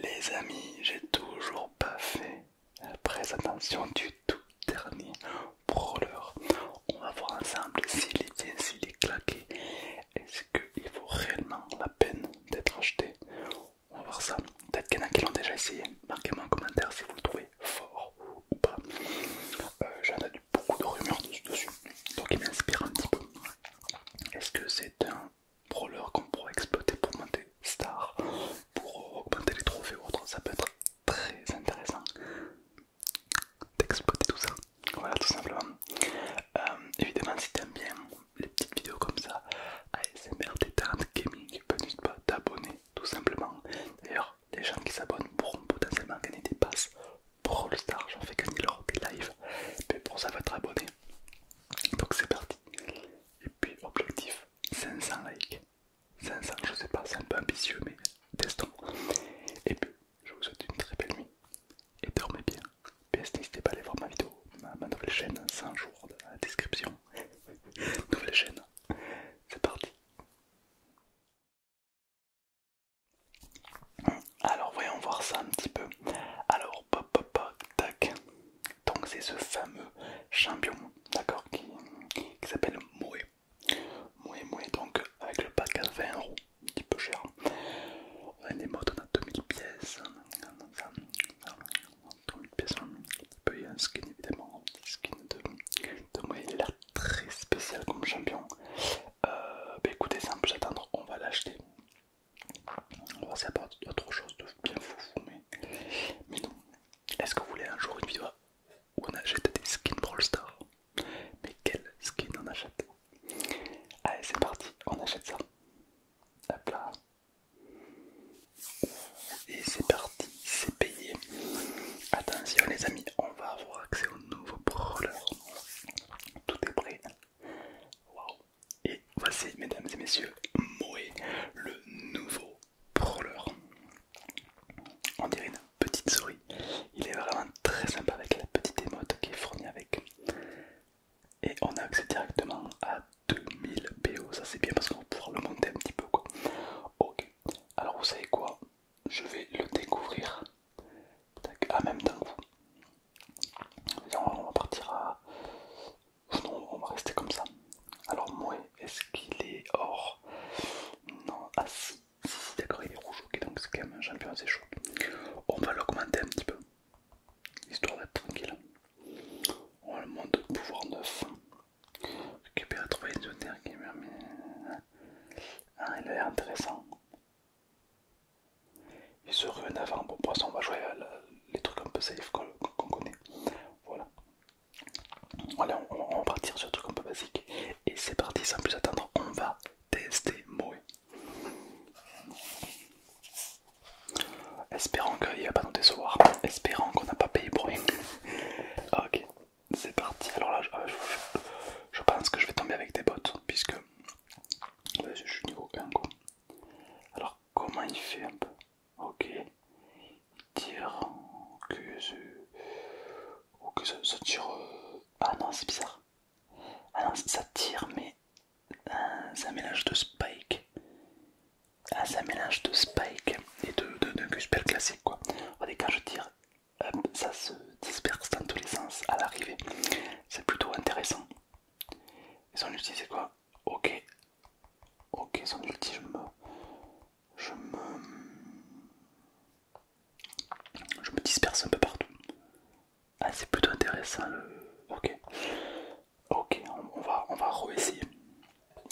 Les amis, j'ai toujours pas fait la présentation du tout dernier brawler. On va voir ensemble s'il est bien, s'il est claqué. Est-ce qu'il vaut réellement la peine d'être acheté On va voir ça. Peut-être qu'il y en a qui l'ont déjà essayé. Marquez-moi en commentaire si vous le trouvez fort ou pas. Euh, j'en ai beaucoup de rumeurs dessus, donc il m'inspire un petit peu. Est-ce que c'est un brawler qu'on pourra exploiter pour monter star, pour euh, augmenter les trophées ou autre, ça peut être très intéressant d'exploiter tout ça. Voilà tout simplement. Euh, évidemment si t'aimes bien les petites vidéos comme ça, ASMR Détente Gaming, n'hésite pas t'abonner tout simplement. D'ailleurs les gens qui s'abonnent pourront potentiellement gagner des passes pour le star, j'en fais gagner lors des lives, mais pour ça va être abonné. Donc c'est parti puis objectif 500 likes 500 je sais pas c'est un peu ambitieux mais testons et puis je vous souhaite une très belle nuit et dormez bien PS n'hésitez pas à aller voir ma vidéo ma, nouvelle chaîne 100 jours dans de la description nouvelle chaîne c'est parti alors voyons voir ça un petit peu alors donc c'est ce fameux champion, d'accord, qui, qui s'appelle Moé. Moué Moué donc avec le pack à 20 euros, un petit peu cher. On a des modes, on a 2000 pièces. Ça, 2000 pièces, peut y a un skin évidemment, un skin de, Moé. Il a l'air très spécial comme champion. Euh, bah écoutez, simple, j'attends, on va l'acheter. On va part d'autre chose de bien fou, mais, mais non. Est-ce que vous voulez un jour une vidéo où on achète des skins Brawl Stars Mais quel skin on achète Allez, c'est parti, on achète ça. Hop là. Et c'est parti, c'est payé. Attention les amis, on va avoir accès au nouveau brawler. Tout est prêt. wow et voici, mesdames et messieurs, Moé, le nouveau prowler. On dirait une petite souris. Il est vraiment très sympa avec la petite émote qui est fournie avec. Et on a accès directement à 2000 PO. Ça c'est bien parce qu'on va pouvoir le monter un petit peu. Quoi. Ok, alors vous savez quoi Je vais le découvrir. en à ah, même temps, On va partir à Oh non, on va rester comme ça. Alors, moi, est-ce qu'il est or Non, ah si, si, d'accord, il est rouge, ok, donc c'est quand même un champion assez chaud. On va l'augmenter un petit peu, histoire d'être tranquille. On va le monter de pouvoir 9. Récupérer de terre qui Ah, il est intéressant il se ruine avant. Bon, pour on va jouer les trucs un peu safe qu'on connaît. Voilà. Allez, on, va partir sur le truc un peu basique. Et c'est parti, sans plus attendre, on va tester Moe. Espérons qu'il va pas nous décevoir. Espérons qu'on n'a pas payé pour rien. ok, c'est parti. Alors là, euh, je, pense que je vais tomber avec des bottes, puisque euh, je suis niveau 1. Alors, comment il fait un peu Ok. Tire. Ok, Ok, ça, tire. Euh, ah non, c'est bizarre. Ah non, ça tire, mais. Euh, c'est un mélange de spike. Ah, c'est un mélange de spike et de, de, classique, quoi. Regardez, quand je tire, ça se disperse dans tous les sens à l'arrivée. C'est plutôt intéressant. Ils ont utilisé quoi Ok, Ok, sans ulti, je me... Je me... Je me disperse un peu partout. Ah, c'est plutôt intéressant le... Ok. Ok, on, va, on va re-essayer.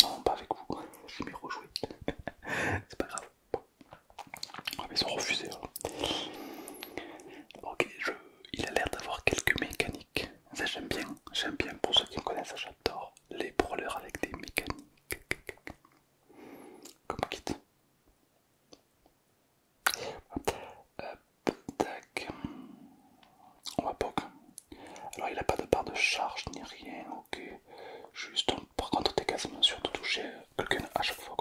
Non, pas avec vous, vais me rejouer. c'est pas grave. Ah, mais ils ont refusé. Hein. Ok, je... il a l'air d'avoir quelques mécaniques ça j'aime bien, j'aime bien. Pour ceux qui me connaissent, j'adore les brawlers avec des mécaniques. Comme kit. On va Alors il n'a pas de part de charge ni rien, ok. Juste, par contre, t'es quasiment sûr de toucher quelqu'un à chaque fois.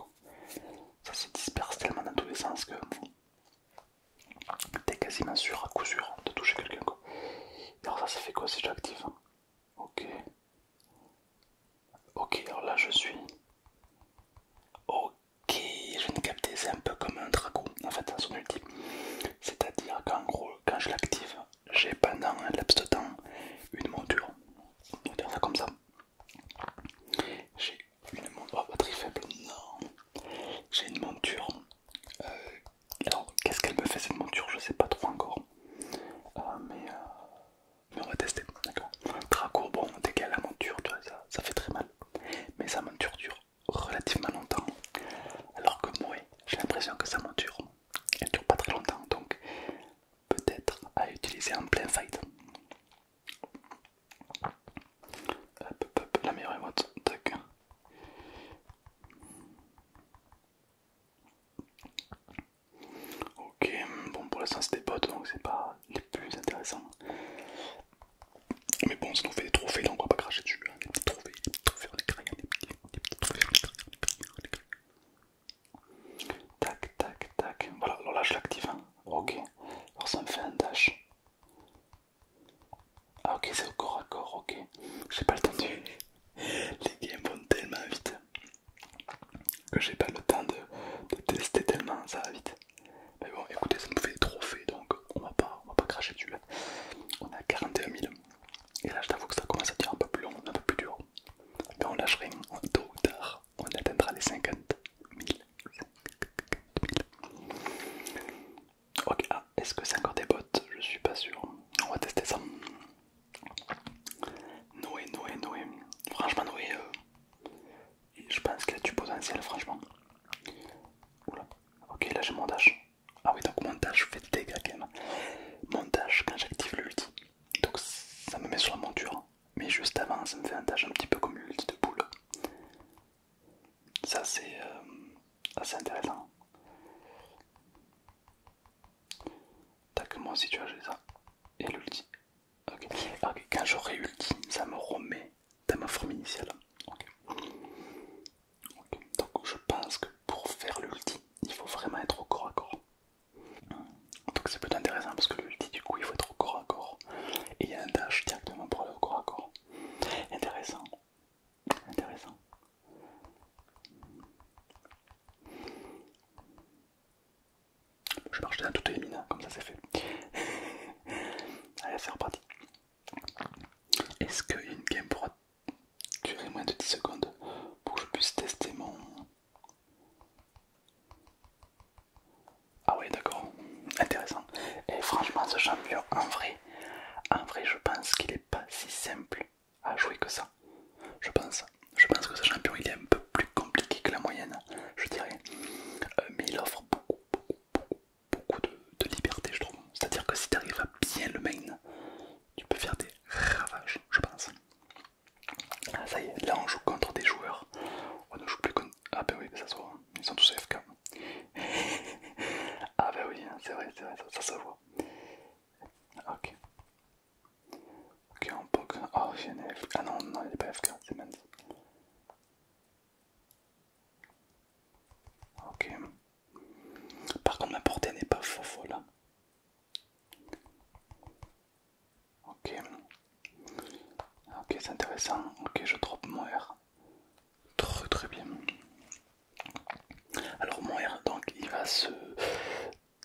Ça se disperse tellement dans tous les sens que t'es quasiment sûr à coup sûr hein, de toucher quelqu'un quoi. Alors ça ça fait quoi si j'active hein Ok. Ok alors là je suis. Ok je viens de capter, c'est un peu comme un dragon en fait à son ultime. C'est-à-dire qu'en gros quand je l'active j'ai pendant un laps de temps une monture. On va dire ça comme ça. J'ai une monture. pas oh, batterie faible, non j'ai une monture. Euh, alors, qu'est-ce qu'elle me fait cette monture Je sais pas trop encore. Euh, euh, mais, on va tester, d'accord Draco, bon, dès la monture, ça, ça fait très mal. Mais sa monture dure relativement longtemps. Alors que moi, j'ai l'impression que sa monture, elle dure pas très longtemps. Donc, peut-être à utiliser en plein fight. Hop, hop, la meilleure émote, tac. Ok, bon pour l'instant c'est des potes donc c'est pas les plus intéressants. Mais bon, ça nous fait des trophées donc on va pas cracher dessus. Tac, tac, tac. Voilà, alors là je l'active. Hein. Ok, alors ça me fait un dash. Ah ok c'est au corps à corps, ok. J'ai pas le temps de... Les games vont tellement vite que j'ai pas le temps de, tester tellement ça va vite. Mais bon écoutez ça me fait des trophées donc on va pas, on va pas cracher dessus. Hein. On a 41 000. Et là je t'avoue que ça commence à être un peu plus long, un peu plus dur. Mais on lâcherait tôt ou tard, on atteindra les 50 000. Ok, ah, est-ce que c'est encore des bottes Je suis pas sûr. On va tester ça. Noé, Noé, Noé. Franchement, Noé, euh, je pense qu'il a du potentiel, franchement. Ok, là j'ai mon dash. Ah oui, donc mon dash fait des dégâts quand même. Mon dash, quand j'active l'ulti, donc ça me met sur la monture. Mais juste avant, ça me fait un dash un petit peu comme l'ulti de boule. Ça c'est euh, assez intéressant. Tac, moi si tu as joué ça. Et l'ulti. ok ok, quand j'aurai ulti, ça me remet dans ma forme initiale. Ok. Donc je pense que pour faire l'ulti, il faut vraiment être au corps à corps. Donc c'est peut-être intéressant parce que l'ulti du coup il faut être au corps à corps. Et il y a un dash directement pour aller au corps à corps. Intéressant. Intéressant. Je marche toutes les mines comme ça c'est fait. Allez, c'est reparti. Est-ce qu'il y a une game pour durer moins de 10 secondes pour que je puisse tester mon. Ah ouais d'accord, intéressant. Et franchement, ce champion, en vrai, en vrai, je pense qu'il est pas si simple à jouer que ça. Je pense. Je pense que ce champion, il est un peu plus compliqué que la moyenne, je dirais. Euh, mais il offre beaucoup, beaucoup, beaucoup, de, liberté, je trouve. C'est-à-dire que si tu arrives à bien le main, tu peux faire des ravages, je pense. Ah, ça y est, là on joue contre des joueurs. On ne joue plus contre. Ah, ben oui, ça soit, hein. ils sont tous FK ah bah oui, hein, c'est vrai, c'est vrai, ça, se voit. Ok. Ok, on peut... Oh, Ah non, non, il n'est pas FK, c'est mince. Ok. Par contre, ma portée n'est pas faux, faux là. Ok. Ok, c'est intéressant. Ok, je drop mon R. Très très bien. Alors mon R, donc il va se...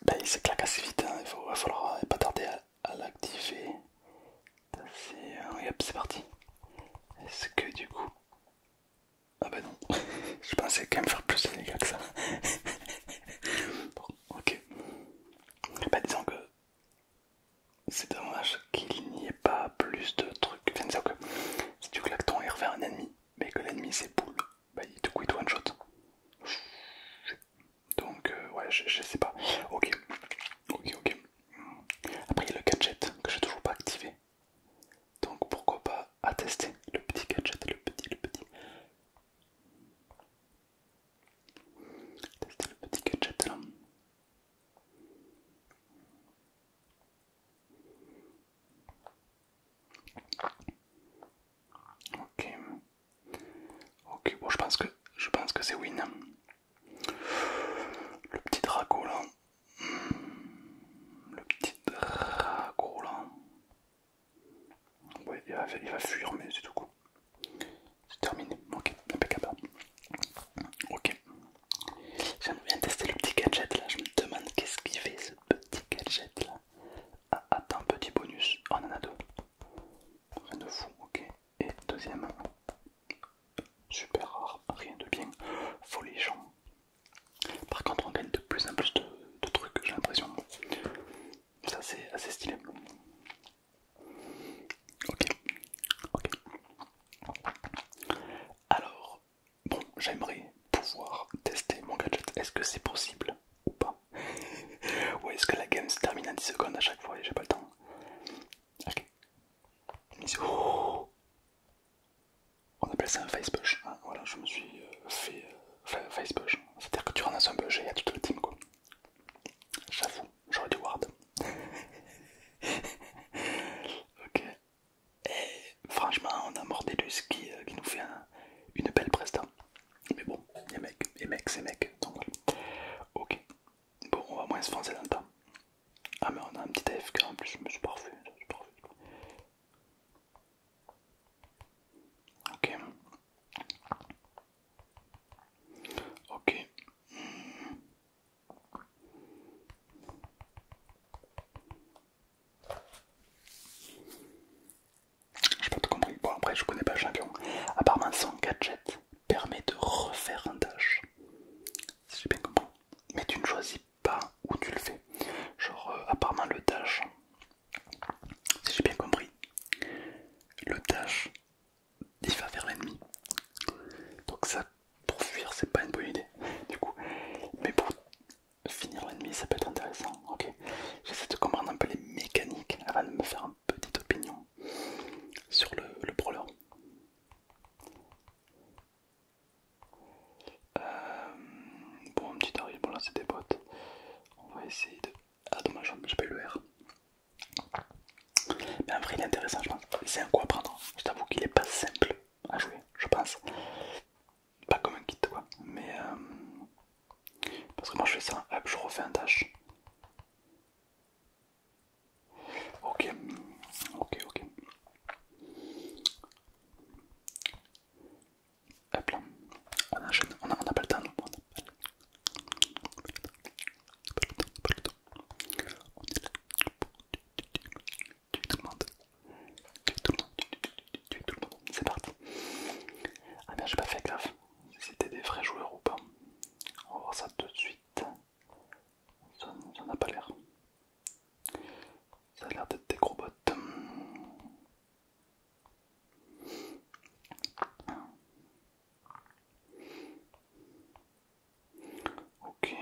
Ben, il se claque assez vite, hein. il, va falloir euh, pas tarder à, l'activer. Hein, c'est parti. Est-ce que du coup... Ah bah ben non, je pensais quand même faire plus de dégâts que ça. bon, ok. Bah disons que c'est dommage qu'il n'y ait pas plus de trucs. c'est que si tu claques ton un ennemi, mais que l'ennemi c'est poule. bah il te one shot. Donc, euh, ouais, je, je sais pas. Ok, ok, ok. Après, il y a le gadget que j'ai toujours pas activé. Donc, pourquoi pas à tester le petit gadget, le petit, le petit. Tester le petit gadget là. Ok. Ok, bon je pense que je pense que c'est win. Le petit draco là. Le petit draco là. Ouais, il va, il va fuir mais c'est tout coup. C'est terminé. Ok, impeccable. Ok. J'aime bien tester le petit gadget là. Je me demande qu'est-ce qu'il fait ce petit gadget là. Ah, attends, petit bonus. Oh, on en a deux. Rien de fou, ok. Et deuxième. Super rare, rien de bien. Folichon. Par contre, on gagne de plus en plus de, de trucs, j'ai l'impression. Ça, c'est assez stylé. Ok, ok. Alors, Bon, j'aimerais pouvoir tester mon gadget. Est-ce que c'est possible ou pas Ou est-ce que la game se termine en 10 secondes à chaque fois et j'ai pas le temps Ok. On appelle ça un face push. Hein. voilà, je me suis euh, fait euh, face push. C'est-à-dire que tu renonces un push et tout tout le team quoi. J'avoue, j'aurais du ward. ok, et franchement, on a Mordelus qui, euh, qui nous fait une belle prestation. Mais bon, les Mec, et mecs, c'est mecs. Donc Ok. Bon, on va moins se foncer dans le temps. Ah, mais on a un petit AFK en plus, Je c'est parfait. parfait. Ok. Ok. Hmm. J'ai pas tout compris. Bon, après, je connais pas le champion. Apparemment, son gadget permet de refaire un dash. Si j'ai bien compris. Mais tu ne choisis pas où tu le fais. Genre, apparemment, euh, le dash, si j'ai bien compris, le dash, il va vers l'ennemi. Donc, ça pour fuir c'est pas une bonne idée du coup mais pour finir l'ennemi ça peut être intéressant ok j'essaie de comprendre un peu les mécaniques avant de me faire une petite opinion sur le, brawler euh, bon petit arrive bon là c'est des bottes on va essayer de ah dommage j'ai le R mais en vrai il est intéressant je pense c'est un coup à prendre je t'avoue qu'il est pas simple à jouer, je pense. Pas comme un kit quoi, mais euh, parce que moi je fais ça, hop, je refais un dash. Ok, ok, ok. Hop là, on enchaîne, on a pas le temps, on a pas le temps tu tout le monde, tu tout le monde, tout le monde, c'est parti. Ah bien, j'ai pas fait gaffe c'était des vrais joueurs ou pas. On va voir ça tout de suite. Ça n'a pas l'air. Ça a l'air d'être des gros bots. Ok.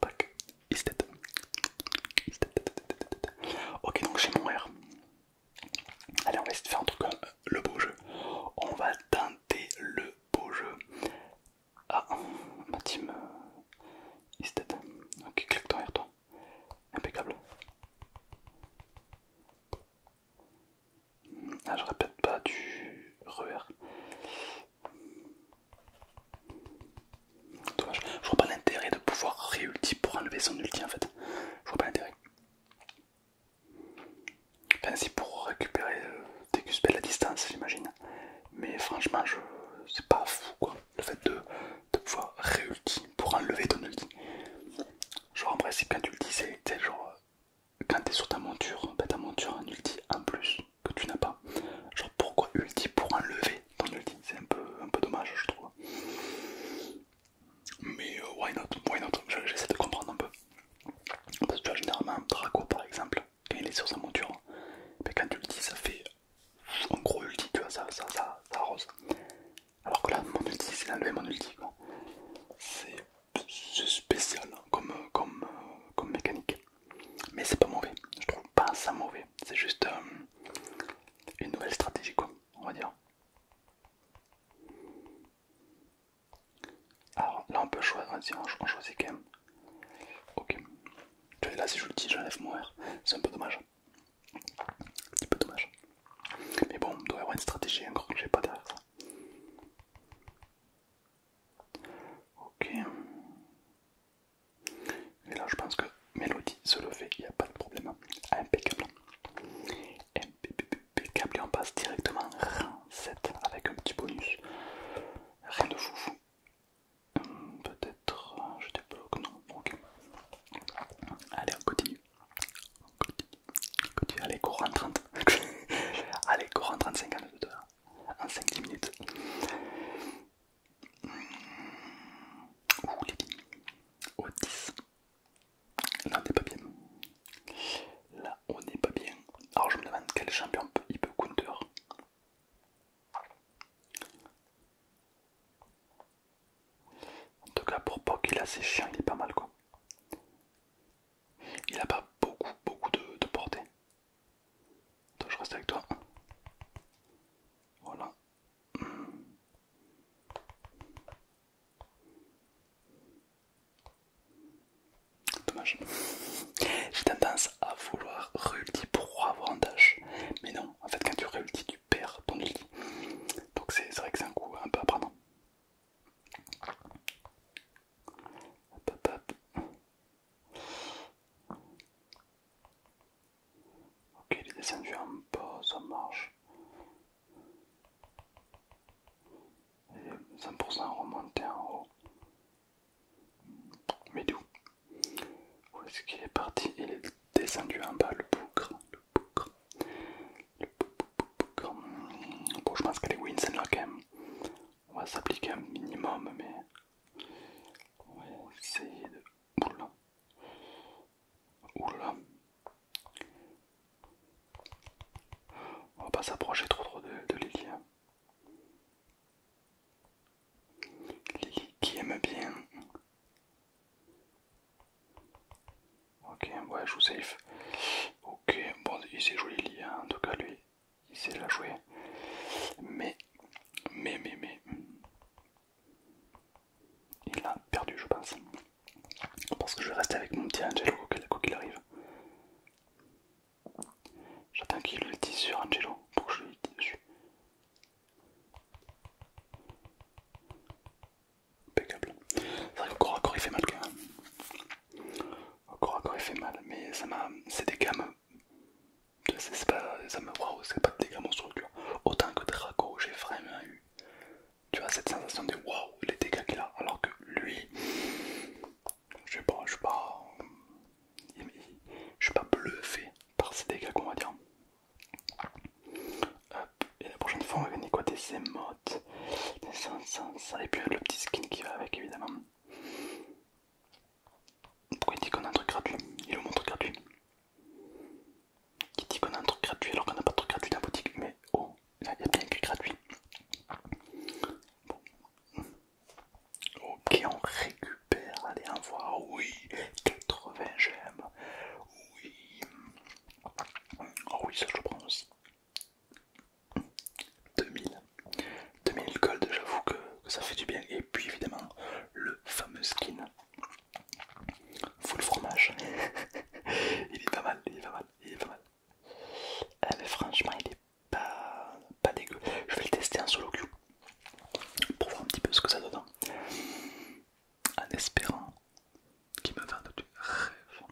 Tac. Ok, donc j'ai mon R. Allez, on va essayer de faire un truc comme euh, le beau jeu. On va tenter le beau jeu. Ah, ma team euh, is Ok, claque ton R, toi. Impeccable. Ah, je répète pas du RER. Dommage. Je vois pas l'intérêt de pouvoir réulti pour enlever son ulti en fait. Je vois pas l'intérêt. Enfin, si pour récupérer euh, des à la distance, j'imagine. Mais franchement, je... c'est pas fou quoi. Le fait de, de pouvoir réulti pour enlever ton ulti. Genre en principe quand tu le disais, tu genre euh, quand t'es sur ta monture, bah ta monture un ulti en plus que tu n'as pas. Genre pourquoi ulti pour enlever ton ulti C'est un peu, dommage je trouve. Mais euh, why not, why not J'essaie de comprendre un peu. Parce que tu vois généralement Draco par exemple, quand il est sur sa monture, quand tu le dis ça fait un gros ulti, tu vois, ça, ça, ça arrose. Alors que là, mon ulti, c'est d'enlever mon ulti. C'est spécial hein, euh, comme, mécanique. Mais c'est pas mauvais, je trouve pas ça mauvais. C'est juste euh, une nouvelle stratégie, quoi, on va dire. Alors là, on peut choisir, on choisit quand même. Ok. Là, si je le dis, j'enlève mon R. C'est un peu dommage. Un petit peu dommage. Mais bon, il doit y avoir une stratégie encore que j'ai pas derrière ça. Ok. Et là je pense que Mélodie se le fait, il n'y a pas de problème. Impeccable. Impeccable et on passe directement rang 7 avec un petit bonus. Rien de fou. Peut-être je débloque, non. Ok. Allez, on continue. allez, courant en 30. allez, courant en 30, En 5-10 minutes. Ouh, les billes. Au 10. Là, on n'est pas bien. Là, on n'est pas bien. Alors, je me demande quel champion peut, il peut counter. En tout cas, pour Poc, il a ses chiens, il est pas mal quoi. Il a pas beaucoup, beaucoup de, portée. Attends, je reste avec toi. Voilà. Hmm. Dommage. J'ai tendance à vouloir réulti pour avoir un dash. Mais non, en fait, quand tu réultis, tu perds ton lit. Donc c'est vrai que c'est un coup un peu apprenant Hop, hop, hop. Ok, est bas, ça marche. est 100% remonté en haut. Mais d'où Où, est-ce qu'il est parti Il est descendu en bas, le boucre. Bon, je pense qu'elle est wins hein, On va s'appliquer un minimum, mais on va de. On va pas s'approcher trop trop de, Lily. Hein. Lily qui aime bien Ok, ouais, joue safe. Ok, bon, il s'est joué Lily, hein. en tout cas, lui, il sait la jouer. Mais, mais, mais, mais, il a perdu, je pense. Parce que je vais rester avec mon petit Angelo, quoi qu'il arrive. J'attends qu'il le dise sur Angelo pour que je le dise dessus impeccable. C'est vrai que corps à il fait mal quand même. Au corps à il fait mal, mais ça m'a. C'est des gammes. C'est pas. Ça me. Waouh, c'est pas des gammes structure. Autant que Draco, j'ai vraiment eu. Tu vois, cette sensation de waouh, les dégâts qu'il a. Alors que lui. Je sais pas, je suis pas. Je suis pas bluffé par ces dégâts qu'on va dire. Hop, et la prochaine fois on va venir quoi des modes ça Et le petit skin qui va avec évidemment. Pourquoi il dit qu'on a un truc gratuit Il le montre gratuit. Il dit qu'on a un truc gratuit alors qu'on n'a pas de truc gratuit dans la boutique. Mais oh, il y a bien un truc gratuit. Ok, on récupère. Allez, on voit. Oui, 80 gemmes. Oui, Oh oui, ça je le prends aussi. 2000. 2000 gold, j'avoue que, ça fait du bien. Et puis évidemment, le fameux skin. Full fromage. il est pas mal, il est pas mal, il est pas mal. Euh, mais franchement, il est pas, pas dégueu. Je vais le tester en solo queue pour voir un petit peu ce que ça donne en espérant qu'il me vende du rêve.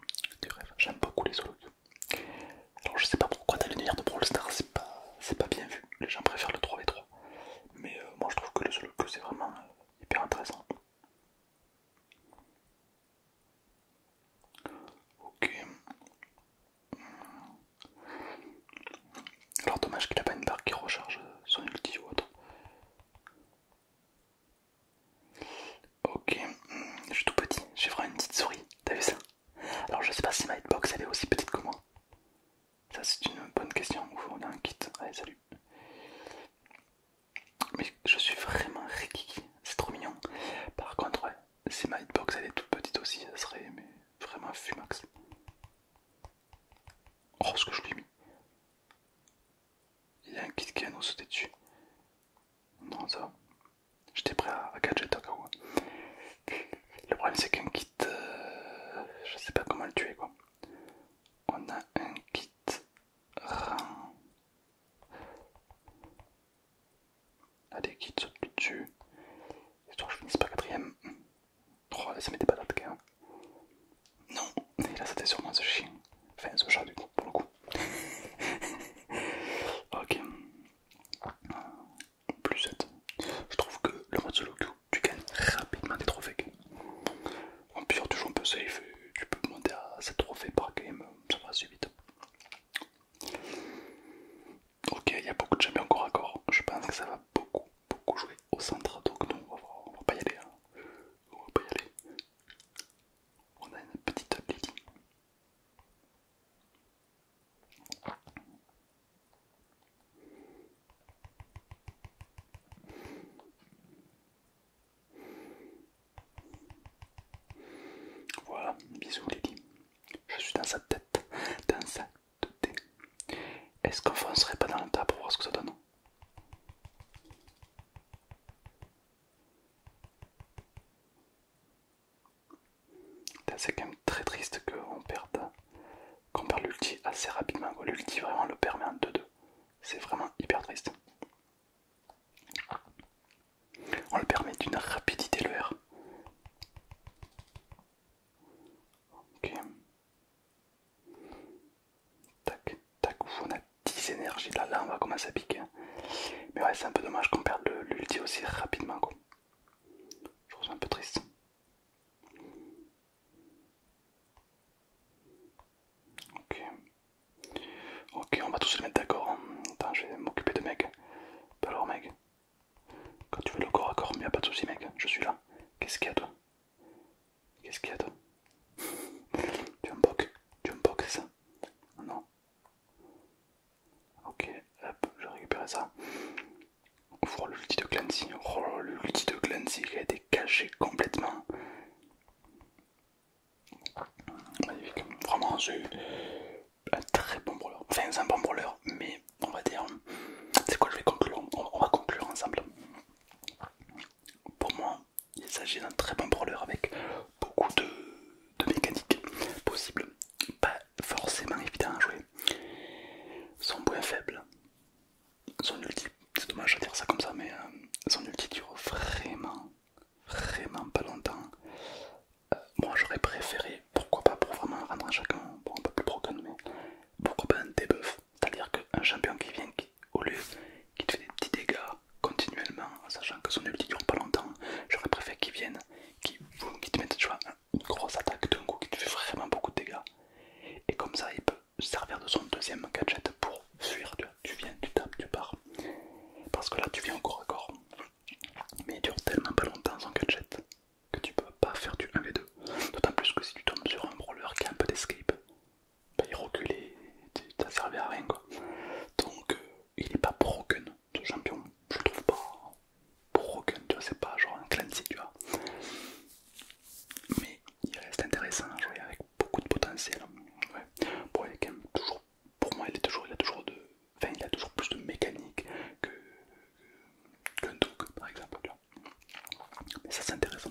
Du rêve. J'aime beaucoup les solos. Alors je sais pas pourquoi le l'univers de Brawl Stars c'est pas, pas bien vu, les gens préfèrent le 3v3. Mais euh, moi je trouve que le solo c'est vraiment euh, hyper intéressant. Ok. Alors dommage qu'il a pas une barre qui recharge euh, son ulti ou autre. Ok, je suis tout petit, j'ai vraiment une petite souris, t'as vu ça Alors je sais pas si ma hitbox elle est aussi petite que moi. Ça c'est une bonne question, on a un kit, allez salut. Mais je suis vraiment rikiki, c'est trop mignon. Par contre, si ma hitbox elle est toute petite aussi, ça serait vraiment fumax. Oh ce que je lui ai mis. Il y a un kit qui a nous sauté dessus. Non, ça J'étais prêt à, gadget au hein. Le problème, c'est qu'un kit. Euh, je sais pas comment le tuer quoi. On a un kit rein. Allez, kit kits sautent dessus. Histoire que je finisse par quatrième. 3, ça met des patates, non, et là c'était sûrement ce chien. Enfin, ce chat du coup, pour le coup. ok. Plus 7. Je trouve que le mode solo queue, tu gagnes rapidement des trophées. En plus tu joues un peu safe euh, tu peux monter à 7 trophées par game, euh, ça va assez vite. Ok, il y a beaucoup de champions encore à corps. Je pense que ça va beaucoup, beaucoup jouer au centre. Donc, non, on va, pas y aller. Hein. On va pas y aller on a une petite Lily. Voilà, bisous Lily. Je suis dans sa tête, dans sa tête. Est-ce qu'on foncerait pas dans le tas pour voir ce que ça donne c'est quand même très triste qu'on perde, qu'on l'ulti assez rapidement. L'ulti vraiment le permet en 2-2. C'est vraiment hyper triste. On le permet d'une rapidité le R. Ok. Tac, tac, on a 10 énergies. Là, là, on va commencer à piquer. Hein. Mais ouais, c'est un peu dommage qu'on perde l'ulti aussi rapidement. Quoi. Je trouve ça un peu triste. Ok. Ok, on va tous se mettre d'accord. Hein. Attends, je vais m'occuper de mec. Alors, mec, quand tu veux le corps à corps, mais pas de soucis, mec, je suis là. Qu'est-ce qu'il y a, toi Qu'est-ce qu'il y a toi Tu veux un poc Tu veux un poc c'est ça Non Ok, hop, je récupère ça. On le lutti de Clancy. Oh, le lutti de Clancy qui a été caché complètement. Magnifique. Vraiment, eu un très bon brawler. Enfin, c'est un bon brûleur mais on va dire. C'est quoi, je vais conclure. On va conclure ensemble. Pour moi, il s'agit d'un très bon brawler avec beaucoup de, de mécaniques possibles, pas forcément évident à jouer. Son point faible, son ulti, c'est dommage à dire ça comme ça, mais euh, son ulti dure vraiment, vraiment pas longtemps. Euh, moi j'aurais préféré, pourquoi pas pour vraiment rendre à chacun un peu plus broken, mais pourquoi pas un debuff, c'est-à-dire qu'un champion qui vient au lieu qui te fait des petits dégâts continuellement, sachant que son ulti dure pas longtemps. J'aurais préféré qu'il vienne, qu'il te mette une grosse attaque d'un coup qui te fait vraiment beaucoup de dégâts. Et comme ça, il peut servir de son deuxième gadget pour fuir. Tu, tu viens, tu tapes, tu pars. Parce que là, tu viens encore encore à Mais il dure tellement pas longtemps son gadget que tu peux pas faire du 1v2. D'autant plus que si tu tombes sur un brawler qui a un peu d'escape, bah, il reculait, ça servait à rien quoi. Donc euh, il est pas broken ce champion, je le trouve pas broken, tu vois, c'est pas genre un Clancy, tu vois. Mais il reste intéressant à jouer avec beaucoup de potentiel. pour moi, il, est toujours, il, a, toujours de, enfin, il a toujours plus de mécanique qu'un que, par exemple, Mais ça c'est intéressant.